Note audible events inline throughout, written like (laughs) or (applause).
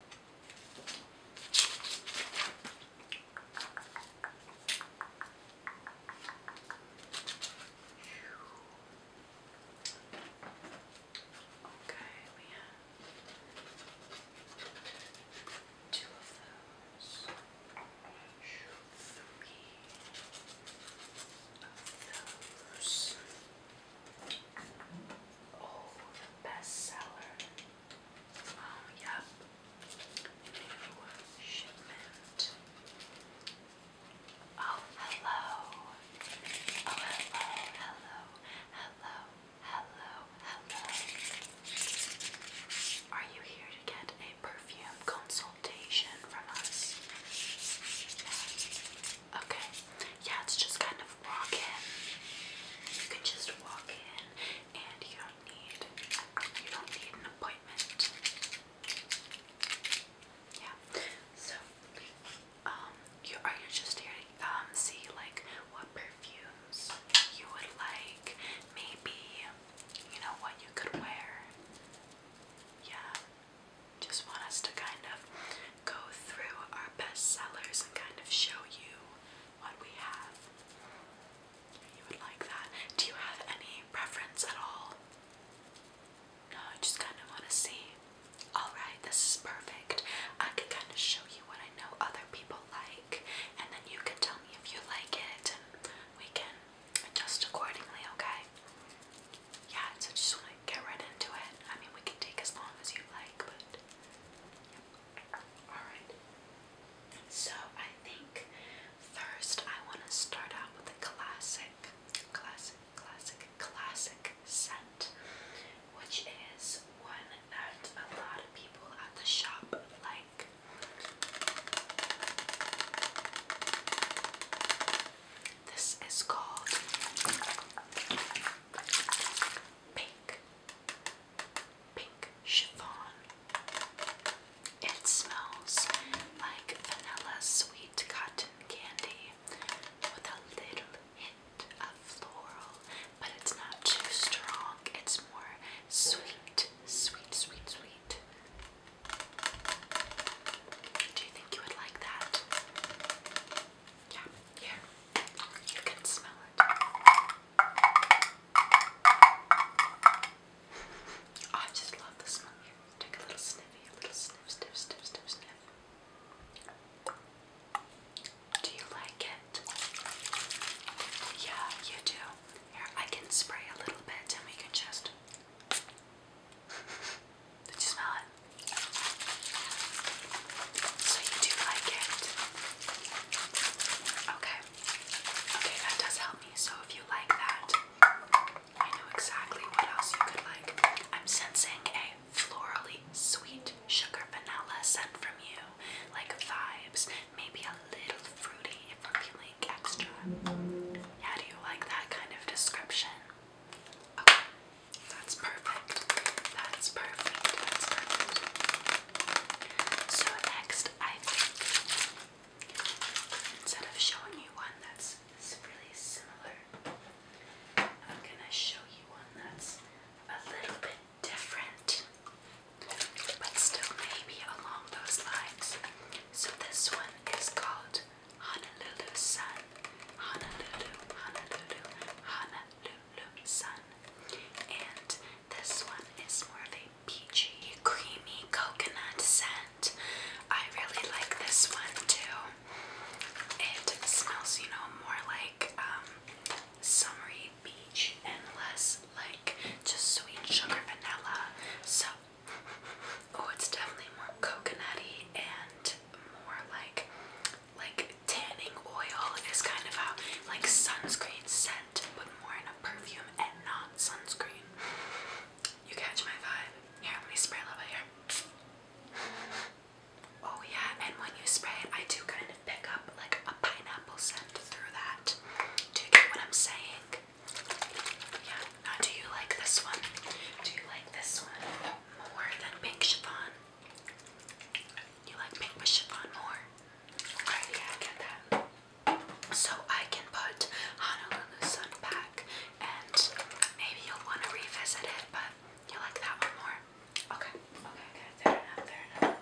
Okay, we have two of those, three of those. Four of those. Oh, the bestseller. Oh, yep. New shipment. Oh, hello. Oh, hello, hello, hello, hello, hello. Are you here to get a perfume consultation from us? Okay. Yeah, it's just kind of walk in. You can just walk in and you don't need you don't need an appointment. Yeah. So um you are you just here to um see like what perfumes you would like, maybe you know what you could wear. Yeah. Just want us to kind of go through our best sellers and kind of show you what we have. You would like that. Do you have any preference at all? No, I just kind of want to see. Alright, this is perfect. I can kind of show you what I know other people like, and then you can tell me if you like it, and we can adjust accordingly, okay? yeah, so just want to get right into it. I mean, we can take as long as you like, but Alright. So, I think first I want to start out with a classic, classic, classic, classic scent, which is one that a lot of people at the shop like. This is called Pink. Pink chiffon. It smells like vanilla sweet cotton candy with a little hint of floral, but it's not too strong. It's more sweet, sweet, sweet, sweet. Do you think you would like that? Yeah, here. You can smell it. (laughs) Oh, I just love the smell here. Take a little sniffy, a little sniff, sniff, sniff, sniff, sniff. Do you like it? Yeah, you do. Here, I can spray a little bit and we can just. Did you smell it? So you do like it? Okay. Okay, that does help me. So if you like that, I know exactly what else you could like. I'm sensing a florally sweet sugar vanilla scent from you, like vibes, maybe a little fruity if i are feeling extra. Yeah, do you like that kind of description? Okay, that's perfect. That's perfect. That's perfect. So next, I think instead of showing you one that's really similar, I'm gonna show you one that's a little bit different, but still maybe along those lines. So this one is called Honolulu sun, Honolulu, Honolulu, Honolulu sun. And this one is more of a peachy, creamy coconut scent. I really like this one too. It smells, you know, more like um, summery beach and less like just sweet sugar vanilla. So Oh, it's definitely more coconutty and more like like tanning oil is kind of a like sunscreen scent, but more in a perfume and not sunscreen. You catch my vibe? Here, let me spray a little bit here. Oh yeah, and when you spray it, I do kind of pick up like a pineapple scent through that. Do you get what I'm saying? Yeah. do you like this one? Do you like this one more than pink chiffon? You like pink with more? Alright, yeah, I get that. So I can put Honolulu Sun back, and maybe you'll want to revisit it, but you like that one more. Okay. Okay. Okay. Fair enough. Fair enough.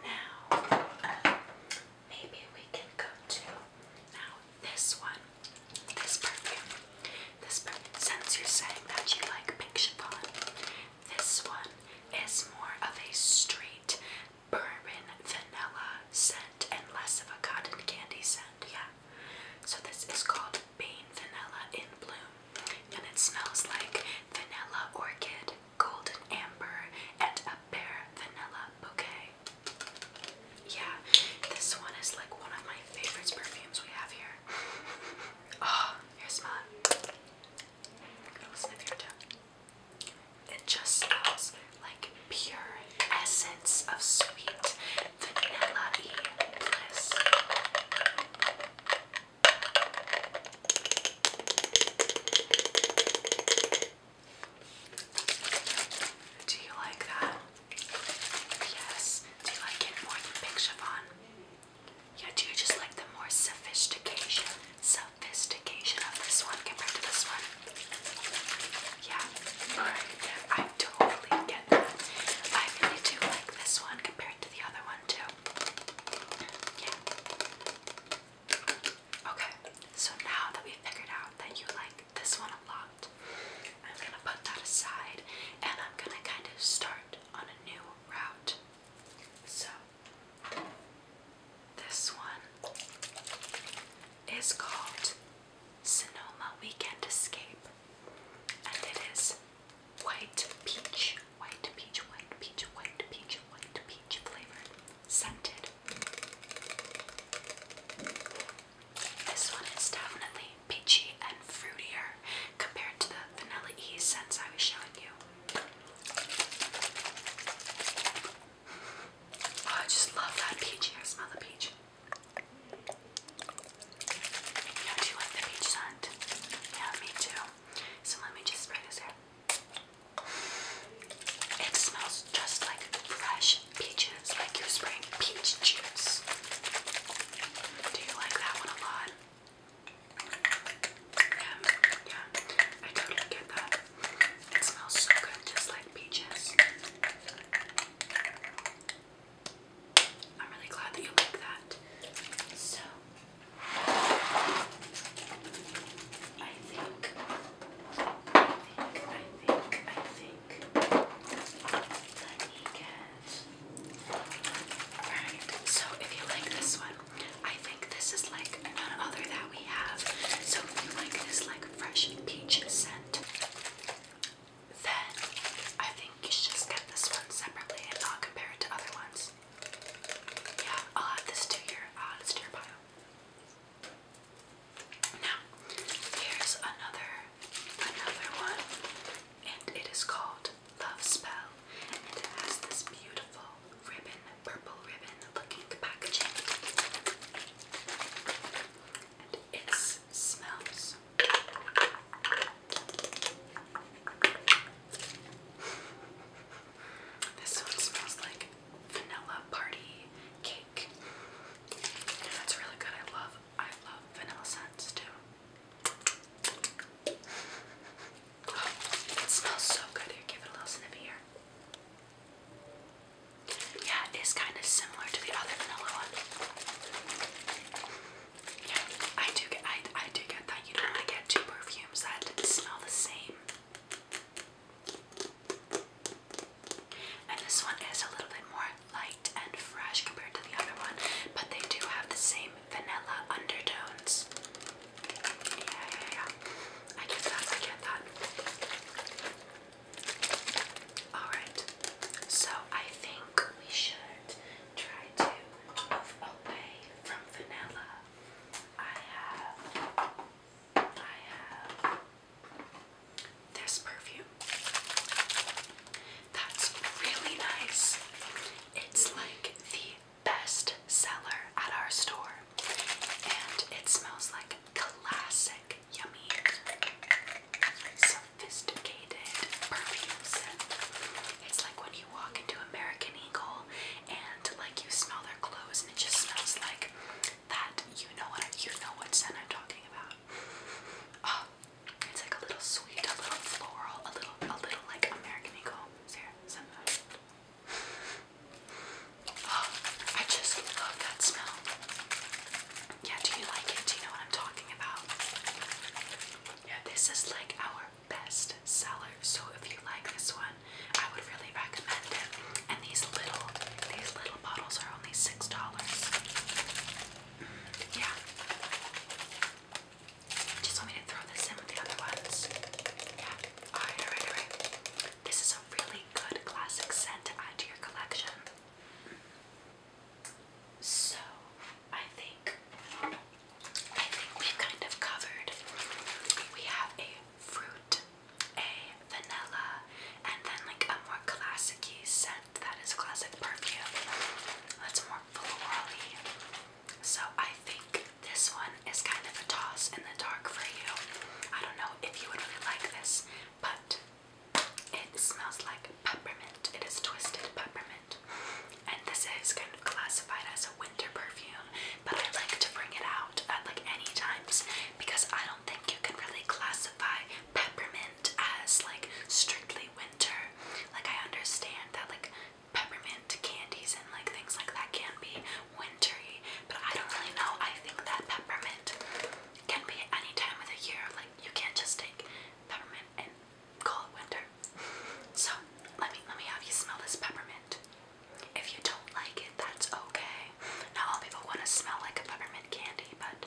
Now, maybe we can go to now this one, this perfume. This perfume, since you're saying that you like pink chiffon, this one is more of a straight bourbon vanilla scent and less of a cotton candy scent. Yeah. So this is called Bane Vanilla in Bloom, and it smells like vanilla orchid, golden amber, and a pear vanilla bouquet. Yeah, this one is like one of my favorite perfumes we have here. (laughs) oh, here smell it. I'll sniff here too. It just smells like pure essence of sweet vanilla y bliss. Do you like that? Yes. Do you like it more than Big Chiffon? Yeah, do you just like the more sophistication, sophistication of this one compared to this one? Yeah, alright, I totally get that. I really do like this one compared to the other one too. Yeah. Okay, so now that we've figured out that you like this one a lot, I'm gonna put that aside and I'm gonna kind of start on a new route. So, this one is called Sonoma Weekend Escape, and it is white peach, white peach, white peach, white peach, white peach flavored scented. This one is definitely peachy and fruitier compared to the vanilla E scents I was showing you. Oh, I just love that peachy. I smell the peach. You know, you like the peach scent? Yeah, me too. So let me just spray this here. It smells just like fresh peaches, like you're spraying peach juice. Do you like that one a lot? yeah, I totally get that. It smells so good, just like peaches. I'm really glad that you like that. So, I think, I think, I think, I think that he gets. Alright, so if you like this one, I think this is like none other that we have. So if you like this like fresh peach scent, then I think you should just get this one separately and not compare it to other ones. Yeah, I'll uh, add this to your, uh, pile. Now, here's another, another one, and it is called Love Spell, and it has this beautiful ribbon, purple ribbon looking packaging, and it smells. This one smells like vanilla party cake. And that's really good. I love I love vanilla scents too. it smells so good. Here, give it a little sniff here. Yeah, it is kind of similar to the other vanilla one. Yeah, I do get I I do get that you don't want to get two perfumes that smell the same. And this one is a little bit more light and fresh compared to the other one, but they do have the same vanilla undertones. Yeah, yeah, yeah. I get that, I get that. Alright, so I think we should try to move away from vanilla I have, I have this perfume. That's really nice. It's like the best seller at our store, and it smells like classic, yummy, sophisticated perfume It's like when you you walk into American Eagle and like you smell their clothes and it just smells like that, you know what I, you know what scent I'm talking about. Oh, it's like a little sweet, a little floral, a little a little like American Eagle. Sarah, send Oh, I just love that smell. Yeah, do you like it? Do you know what I'm talking about? Yeah, this is like our best seller. So if you like this one, I would really recommend it. And these little these little bottles are only six dollars. Yeah. Just want me to throw this in with the other ones. Yeah. Alright, alright, alright. This is a really good classic scent to add to your collection. So, I think I think we've kind of covered. We have a fruit, a vanilla, and then like a more classic scent that is classic perfume. That's more florally. So I think this one is kind of a toss in the dark for you. I don't know if you would really like this, but it smells like peppermint. It is twisted peppermint. And this is kind of classified as a winter perfume, but I like to bring it out at like any times because I don't think you can really classify peppermint as like strictly winter. Like I understand that like peppermint candies and like things like that can be wintry, but I don't really know. I think that peppermint can be any time of the year. Like you can't just take peppermint and call winter. So let me let me have you smell this peppermint. If you don't like it, that's okay. Not all people want to smell like a peppermint candy, but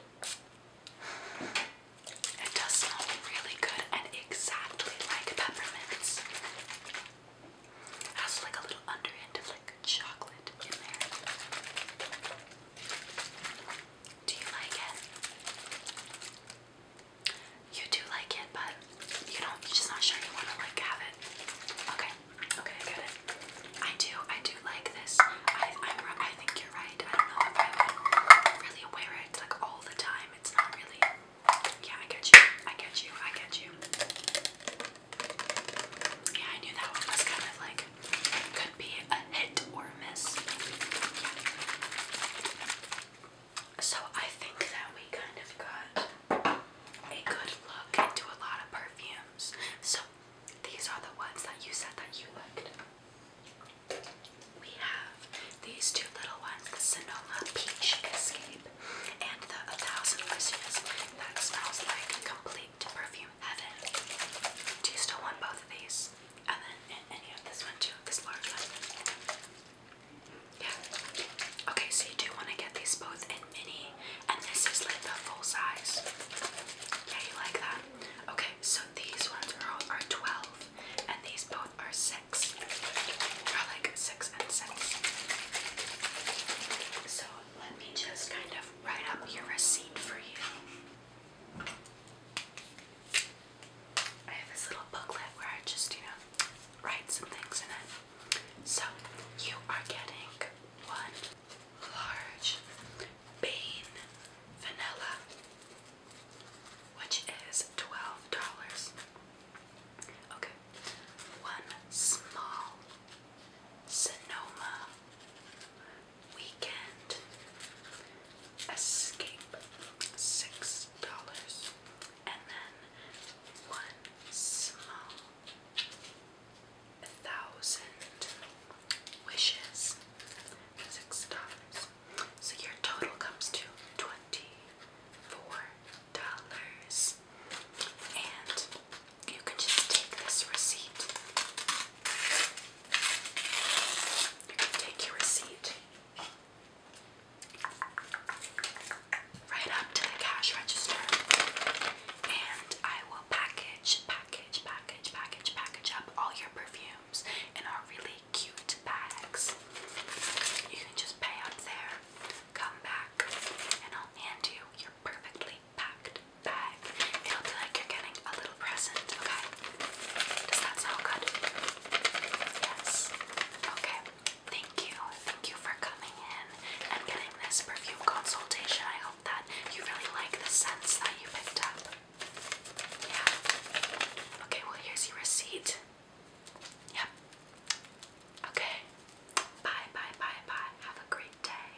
it does smell really good and exactly like peppermints. It has like a little under underhint of like chocolate in there. Do you like it? You do like it, but you don't. You're just not sure you want to like have it. Okay, okay, I get it. I do, I do like this. I, I'm, I think you're right. I don't know if I would really wear it like all the time. It's not really. Yeah, I get you. I get you. I get you. Yeah, I knew that one was kind of like could be a hit or so I think that we kind of got a good look into a lot of perfumes. So these are the ones that you said that you liked. We have these two little ones, the Sonoma Peach Escape and the Thousand Wishes that smells like complete perfume heaven. Do you still want both of these? Okay, so you do want to get these both in mini, and this is like the full size. Yeah, you like that? Okay, so these ones are all are twelve, and these both are six. Are like six and six. So let me just kind of write up your receipt for you. I have this little booklet where I just, you know, write some things in it. So, you are getting one large Bane vanilla, which is $12. Okay, one small Sonoma Weekend Escape six dollars and then one small thousand wishes six dollars. So your total comes to twenty-four dollars. And you can just take this receipt Take your receipt right up to the cash register, and I will package, package, package, package, package up all your perfumes in our really cute bags. You can just pay up there, come back, and I'll hand you your perfectly packed bag. It'll be like you're getting a little present, okay? Does that sound good? Yes. Okay. Thank you. Thank you for coming in and getting this perfume consultation. I hope that you really like the scents that you picked up. Yeah. Okay, well, here's your receipt. Yep. Okay. Bye, bye, bye, bye. Have a great day.